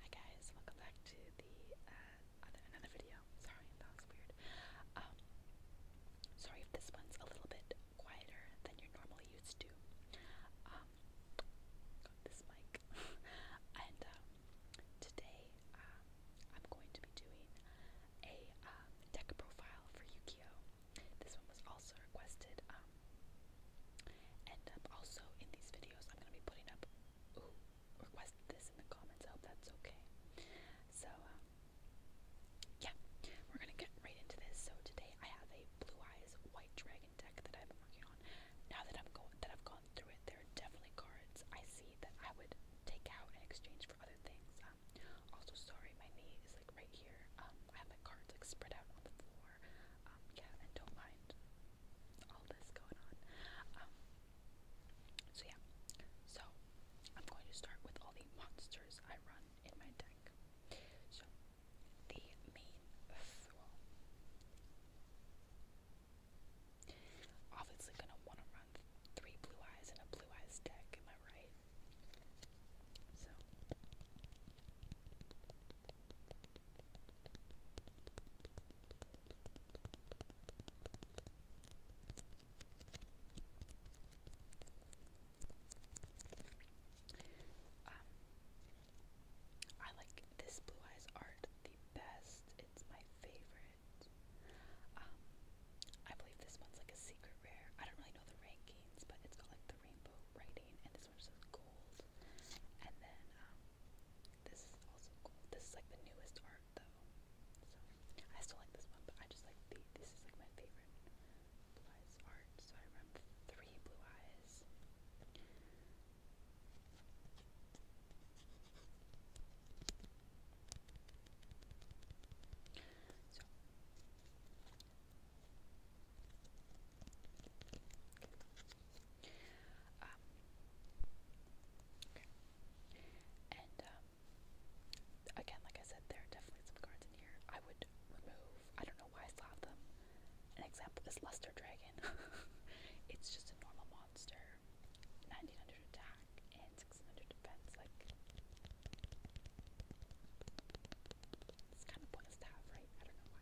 Hi guys, welcome back to the uh, another video. Sorry, that was weird. Um, sorry if this one's a little bit quieter than you're normally used um, this mic, and um, today I'm going to be doing a um, profile for yu This one was also requested end also in these videos. I'm gonna be putting up request this in the comments. I hope that's okay. So um, yeah, we're gonna get right into this. So today I have a Blue Eyes White Dragon deck that I've been working on. Now that I'm going, that I've gone through it, there are definitely cards I see that I would take out in exchange for other things. Um, also, sorry, my knee is like right here. Um, I have my cards like spread out on the floor. Um, yeah, and don't mind all this going on. Um, so yeah, so I'm going to start with all the monsters I run in my deck. So the main obviously gonna want to run three blue eyes in a blue eyes deck. Am I right? Um, I like this Blue Eyes art the best. It's my favorite. Um, I believe this one's like a secret rare. I don't really know the rankings, but it's got like the rainbow writing, and this one's just gold. And then um, this is also cool. This is like the newest art though. So I still like this one, but I just like the this is like my favorite blue eyes art. So I remember three blue eyes. So Okay. Um, okay. And um, again, like I said, there are definitely some cards in here I would remove. I don't know why I slap them. An example is Luster Dragon. it's just a normal monster. 1900 attack and 600 defense. Like, it's kind of pointless to have, right? I don't know why.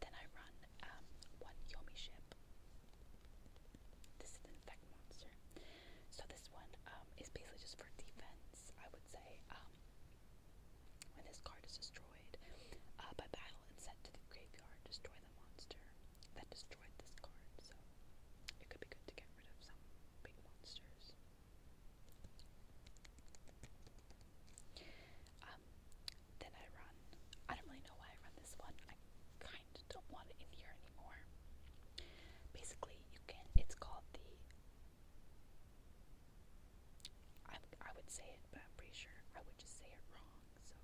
then I run um, one Yomi ship. This is an monster. So this one um, is basically just for defense, I would say. Um, when this card is destroyed uh, by battle and sent to the graveyard, destroy the monster that destroyed this card. So it could be good to get rid of some big monsters. Um, then I run. I don't really know why I run this one. I kind of don't want it in here anymore. Basically, you can. It's called the. I I would say it, but I'm pretty sure I would just say it wrong. So.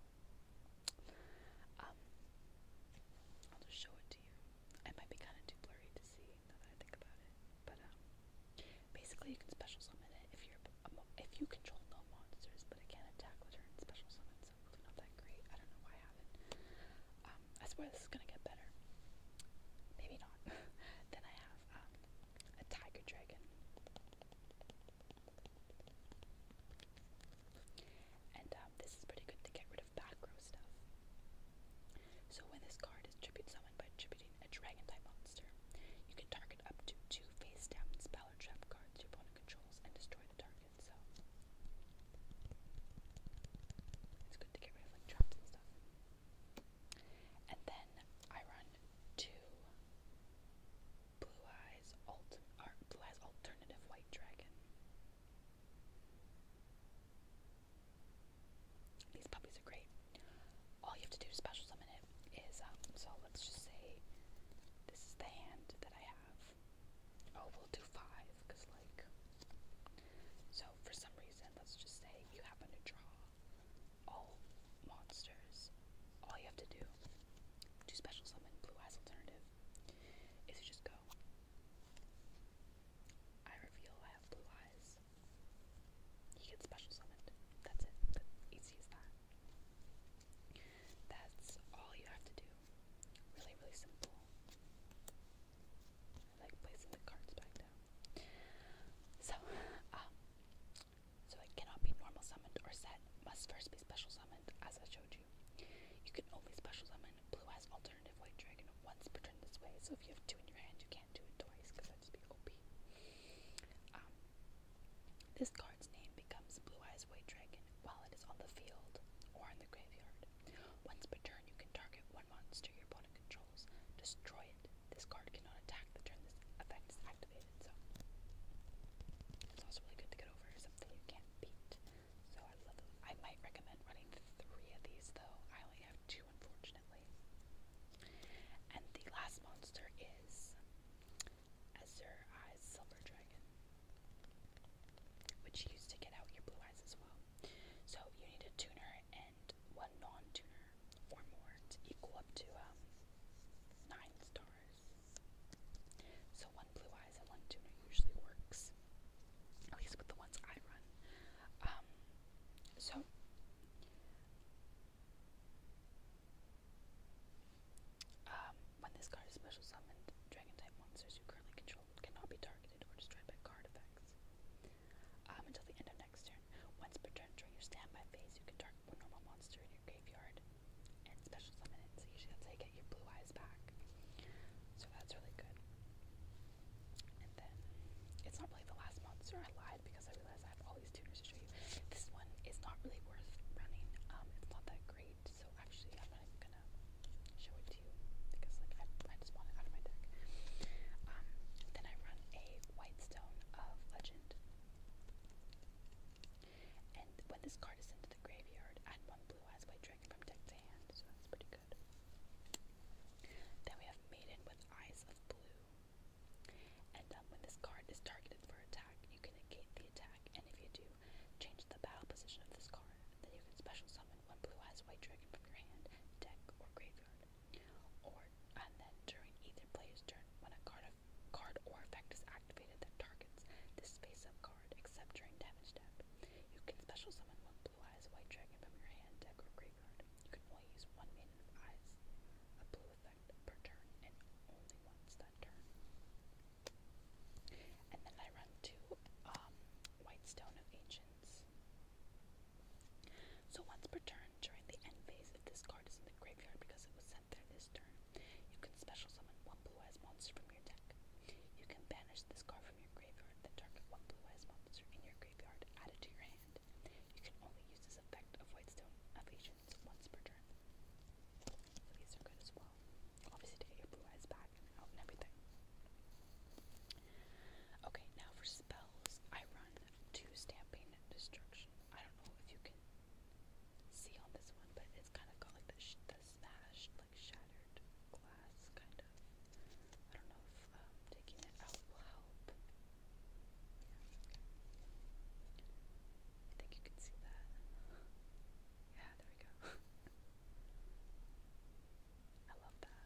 Um. I'll just show it to you. It might be kind of too blurry to see now that I think about it, but um. Basically, you can special summon it if you if you control no monsters but can attack, return, special summon. So really not that great. I don't know why I have it. Um, I swear this is gonna get better. Maybe not. then I have um, a tiger dragon. And um, this is pretty good to get rid of back row stuff. So when this card is tribute summoned by tributing a dragon type monster, you can target up to two face down spell or trap cards your opponent controls and destroy the target, so it's good to get rid of like traps and stuff. And then I run two Blue Eyes Alt Blue Eyes Alternative White Dragon. These puppies are great. All you have to do is special summon it it is um so let's just say this is the hand that I have. Oh, we'll do five because like so for some reason let's just say you happen to draw all monsters. All you have to do to special summon Blue Eyes Alternative is you just go I reveal I have blue eyes. He gets special summoned. That's it. easy as that. That's all you have to do. Really, really simple. like placing the cards back down. So, uh, so it cannot be normal summoned or set. Must first be special summoned, as I showed you. You can only special summon blue as alternative white dragon once per turn this way. So if you have two in your hand, you can't do it twice because that'd be OP. Um, this card's name becomes Blue Eyes White Dragon while it is on the field or in the graveyard. Once per turn, you can target one monster your opponent controls, destroy it. This card cannot attack the turn this effect is activated, so it's also really good to get over something you can't beat. So I love those. I might recommend running three of these though. I only have two, unfortunately. And the last monster is Azure Eyes Silver Dragon, which you to get out your blue eyes as well. So you need a tuner and one non-tuner or more to equal up to um, nine stars. So one blue eyes and one tuner usually works, at least with the ones I run. Um, so um, when this card is special summoned, dragon type monsters you currently control cannot be targeted or destroyed by card effects. Um, until the end of next turn. Once per turn during your standby phase, you can target one normal monster in your graveyard and special summon it, so usually that's how you get your blue eyes back. So that's really good. And then, it's not really the last monster I lied because I realized I have these tuners to show you. This one is not really worth running. Um, it's not that great, so actually I'm not gonna show it to you because like I, just want it out of my deck. Um, then I run a White Stone of Legend. And when this card is sent to the graveyard, I one blue eyes white dragon from deck to hand, so that's pretty good. Then we have Maiden with Eyes of Blue. And um, when this card is targeted for attack, you can negate the attack attack, and if you do, change the battle position of this card. Then you can special summon one Blue Eyes White Dragon from your hand, deck, or graveyard. Or and then during either player's turn, when a card, of, card or effect is activated that targets this face-up card, except during damage step, you can special summon one Blue Eyes White Dragon from your hand, deck, or graveyard. You can only use one Maiden of Eyes, a blue effect per turn, and only once. And then I run to um, White Stone of Ancients. So once per turn, during the end phase, if this card is in the graveyard because it was sent there this turn, you can special summon one blue-eyes monster from your deck. You can banish this card from your graveyard, then target one blue-eyes monster in your graveyard, add it to your hand. You can only use this effect of White Stone of Ancients questions once per turn. So these are good as well. Obviously to aid Blue Eyes back and out and everything. Okay, now for spells, I run two Stamping Destruction. I don't know if you can see on this one, but it's kind of got like the, sh the smashed, like shattered glass, kind of. I don't know if um, taking it out will help. Yeah. I think you can see that. Yeah, there we go. I love that.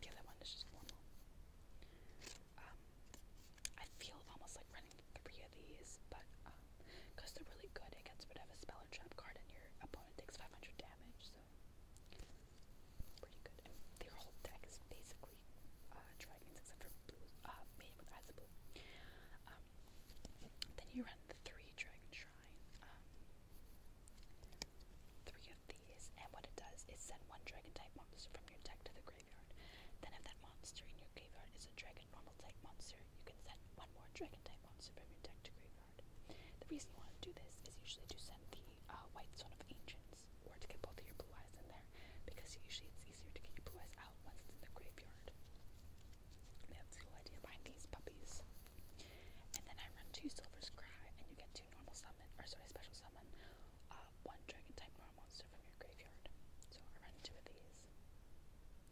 The other one is just normal. Um, I feel almost like running three of these, but um, because they're really good It against whatever spell or trap card, and your opponent takes 500 damage, so pretty good. And are all deck is basically uh, dragons, etc. for blue, uh, made with eyes of blue. Um, then you run the three dragon shrine. Um, three of these, and what it does is send one dragon type monster from your deck to the graveyard. Then, if that monster in your graveyard is a dragon normal type monster, you can send one more dragon type monster from your deck to graveyard. The reason you want to do this is usually to send the uh, White Stone of Ancients, or to get both of your blue eyes in there, because usually it's easier to get your blue eyes out once it's in the graveyard. That's the whole idea behind these puppies. And then I run two Silver's Cry, and you get two normal summon, or sorry, special summon, uh, one dragon type normal monster from your graveyard. So I run two of these.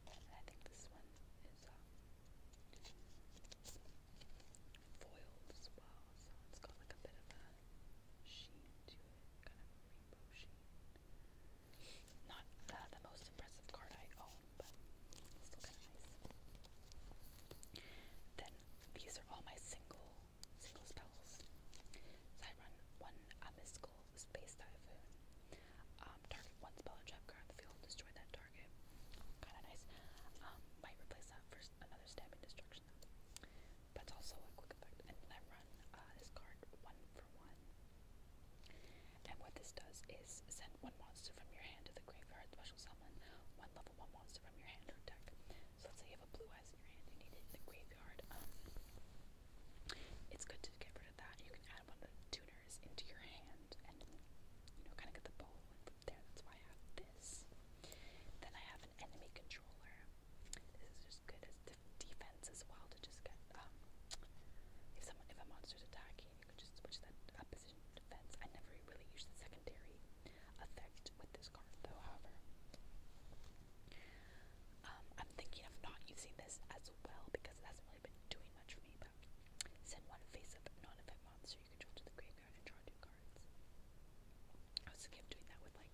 And I think this one is um, foiled as well, so it's got like a bit of a sheen to it, kind of a rainbow sheen. Not uh, the most impressive card I own, but still kind of nice. Then these are all my single single spells. So I run one mystical space typhoon. Um, target one spell and trap card on the field, destroy that target. Kind of nice. Um, might replace that for another stabbing destruction. Though. That's also a quick effect. And then I run uh, this card one for one. And what this does is send one monster from your hand to the graveyard, special summon one level one monster from your hand or deck. So let's say you have a blue eyes in your hand, you need it in the graveyard. Um, it's good to get rid of that. You can add one of the tuners into your hand and you know kind of get the ball there. That's why I have this. Then I have an enemy controller. This is as good as defense as well to just get um, if someone if a monster's attacking you could just switch that up to defense. I never really use the secondary effect with this card though, however. Um, I'm thinking of not using this as well because it hasn't really been doing much for me, but send one face up non event monster you control to the graveyard and draw two cards. I was thinking of doing that with like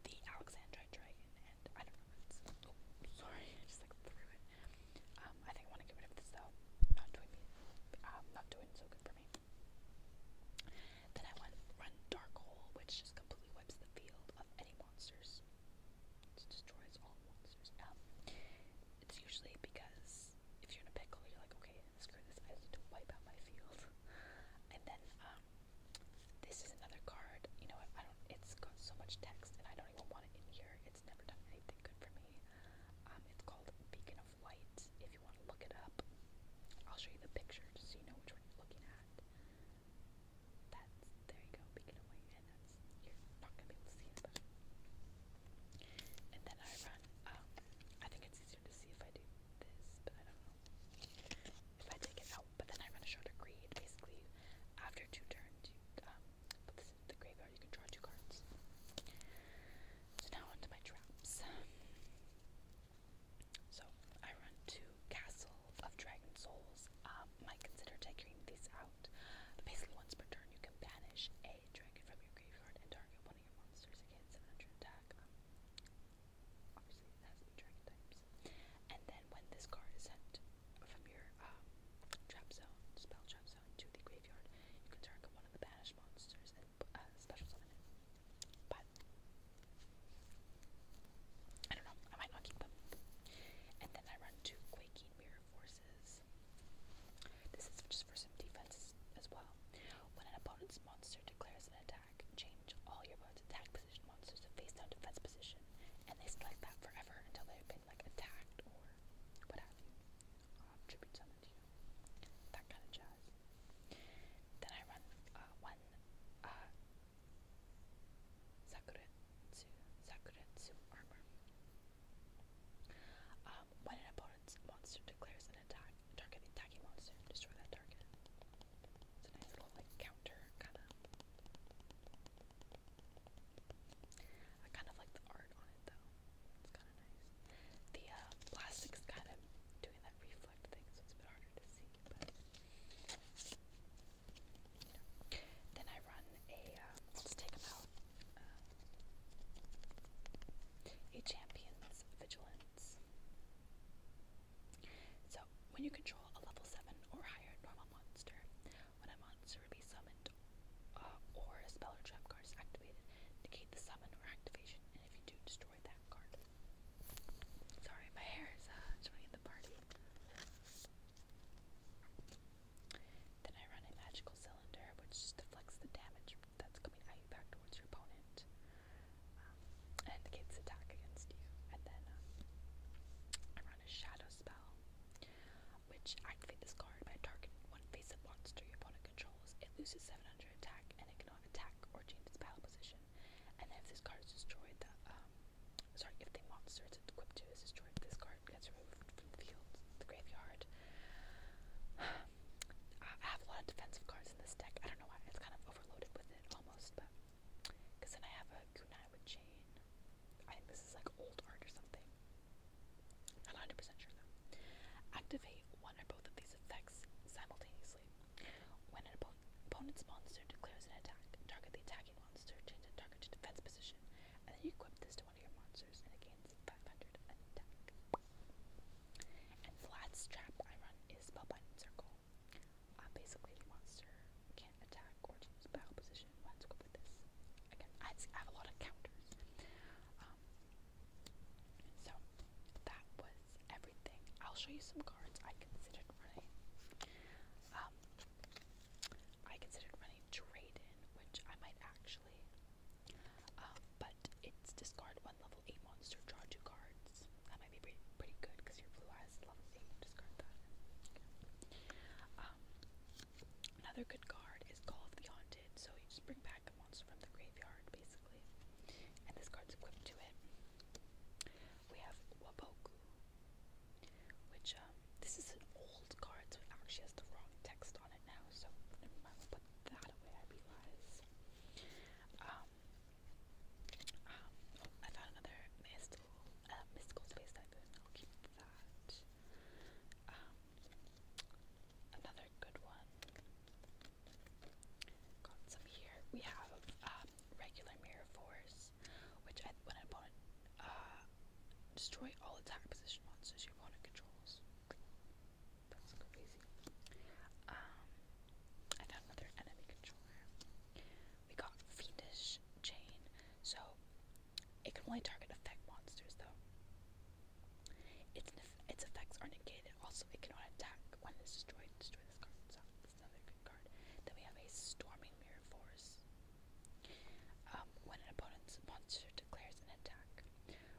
the Alexandrite Dragon I don't know oh, sorry, I just like threw it. Um, I think I want to get rid of this though, not doing me, um, not doing so good for me. Then I want Run Dark Hole, which just completely wipes the field of any monsters. It destroys all monsters. Um, it's usually because if you're in a pickle, you're like, okay, screw this, I need to wipe out my field. and then, um, this is another card. You know what? I don't. It's got so much text, and I don't even want it in here. It's never done anything good for me. Um, it's called Beacon of Light. If you want to look it up, I'll show you the picture just so you know which one you're looking at. That's there you go. Beacon of Light, you're not gonna be able to see it. And then I run. Um, I think it's easier to see if I do this, but I don't know. If I take it out out, but then I run a short creed. Basically, after two turns, you um, put this into the graveyard, you can draw two cards. So now onto my traps. So I run to Castle of Dragon Souls. Um, might consider taking these out. But basically, once per turn, you can banish a dragon from your graveyard and target one of your monsters against 700 attack. Um, obviously, it has the dragon types. And then when this card is sent from your um, trap zone, spell trap zone, to the graveyard, you can target one of the banished monsters and uh, special summon But I don't know. I might not keep them. And then I run two quaking mirror forces. This is just for some defense as well. When an opponent's monster declares an attack, change all your opponent's attack monsters face down defense position, and they like that forever until they've been like attacked or what have you. Um, tribute summon to you. That kind of jazz. Then I run uh, one uh, Sakuretsu, Sakuretsu armor. Um, when an opponent's monster declares an attack, target monster, destroy that target. It's a nice little like counter kind of I kind of like the art on it though. It's kind of nice. The uh, plastic's kind of doing that reflect thing, so it's a bit harder to see. then I run a. Um, let's take them out. Uh, a champion's vigilance. So when you control a level seven or higher normal monster, when a monster be summoned uh, or a spell or trap card is activated, negate the summon or activation, and if you do, destroy that card. Sorry, my hair is uh, joining the party. Then I run a magical cylinder, which deflects the damage that's coming back towards your opponent, um, and the kid's attack against you. And then uh, I run a shadow spell which activates this card by targeting one face-up monster your opponent controls. It loses 700 attack, and it cannot attack or change its battle position. And then if this card is destroyed, the, um, sorry, if the monster it's equipped to is destroyed, this card gets removed from the field, the graveyard. I have a lot of defensive cards in this deck. I don't know why. It's kind of overloaded with it almost, but because then I have a kunai with chain. I think this is like old art or something. Not 100% sure though. Activate one or both of these effects simultaneously. When an opponent's monster declares an attack, target the attacking monster, change the target to defense position, and then you equip this to one of your monsters and it gains 500 attack. And the last trap I run is Spellbinding Circle. Uh, basically, the monster can't attack or change battle position Let's go with this. Again, I have a lot of counters. Um, so that was everything. I'll show you some cards I considered running. Um, I considered running Drayden, which I might actually. Um, but it's discard one level eight monster, draw two cards. That might be pretty, pretty good because your blue eyes level eight. Discard that. Okay. Um, Another good card is Call of the Haunted, so you just bring back a monster from the graveyard, basically. And this card's equipped to it. We have Waboku, which, um, this is an old card, so it actually has the wrong text on it now, so never will put that away, I realize. Um, um oh, I found another mystical, uh, mystical space type, I'll um, another good one. Got some here. We have um, regular mirror force, which I, when an opponent uh, destroy all attack position monsters your opponent controls. That's crazy. Um, I found another enemy controller. We got Fiendish Chain. So it can only target effect monsters, though. Its its effects are negated. Also, it cannot attack when it's destroyed. Destroy this card. that's another good card. Then we have a Storming Mirror Force. Um, when an opponent's monster declares an attack,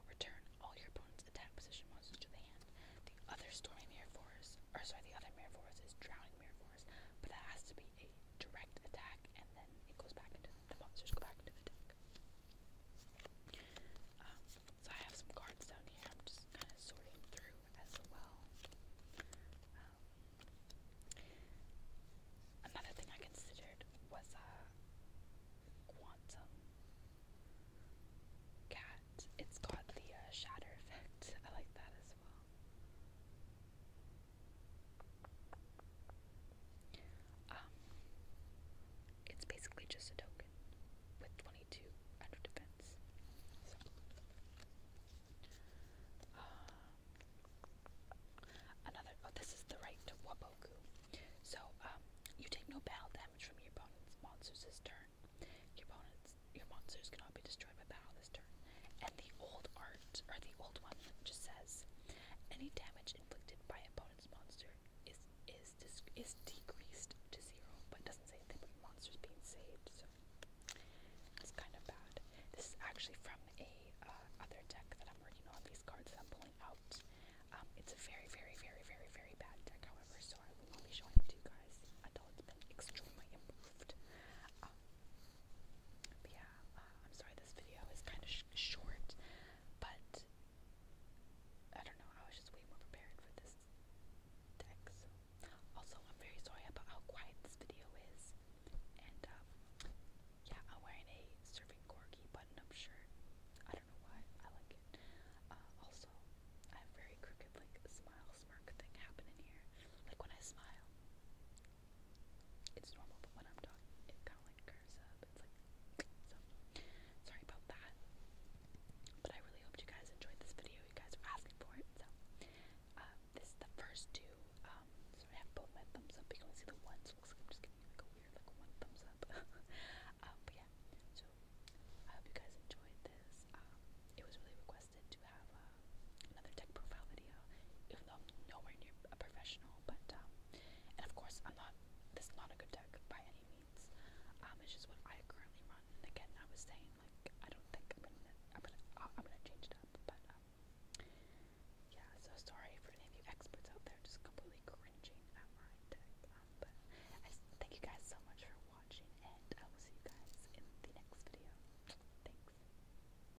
return all your opponent's attack position monsters to the hand. The other Storming Mirror Force, or sorry, the other Mirror Force is Drowning Mirror Force, but that has to be a direct attack, and then it goes back into the monsters go back into the deck. Um, so I have some cards down here. just kind of sorting through as well. Um, another thing I considered was a uh, quantum cat. It's got the uh, shatter effect. I like that as well. Um, it's basically just a token with 22 defense. So. Um, another, oh, this is the right Waboku. So, um, you take no battle damage from your opponent's monsters' turn. Your opponent's, your monsters cannot be destroyed by his And the old art, or the old one, that just says, any damage inflicted by opponent's monster is is is decreased to zero, but it doesn't say anything about monster's being saved, so it's kind of bad. This is actually from a uh, other deck that I'm working on. These cards that I'm pulling out. Um, it's a very, very, very, very, very bad deck, however, so I will not be showing it to you guys until it's been extremely improved. Um, yeah, uh, I'm sorry this video is kind of short, but I don't know, I was just way more prepared for this deck, Also, I'm very sorry about how quiet this video is, and um, yeah, I'm wearing a Serving Corgi button-up shirt. I don't know why, I like it. Uh, also, I have very crooked, smile smirk thing happening here. Like, when I smile, it's normal, but when I'm talking, it kind of like curves up. It's like, so sorry about that. But I really hope you guys enjoyed this video. You guys were asking for it, so uh, this is the first two. Um, so I have both my thumbs up. You only see the one, looks like I'm just giving like a weird like one thumbs up. Um, but yeah, so I hope you guys enjoyed this. Um, it was really requested to have. Uh, another tech profile video, even though nowhere near a professional. But um, and of course, I'm not. This is not a good tech by any means. Um, it's just what I currently run. And again, I was saying like I don't think I'm gonna I'm gonna uh, change it up. But um, yeah. So sorry for any of you experts out there just completely cringing at my tech. Um, but thank you guys so much for watching, and I will see you guys in the next video. Thanks.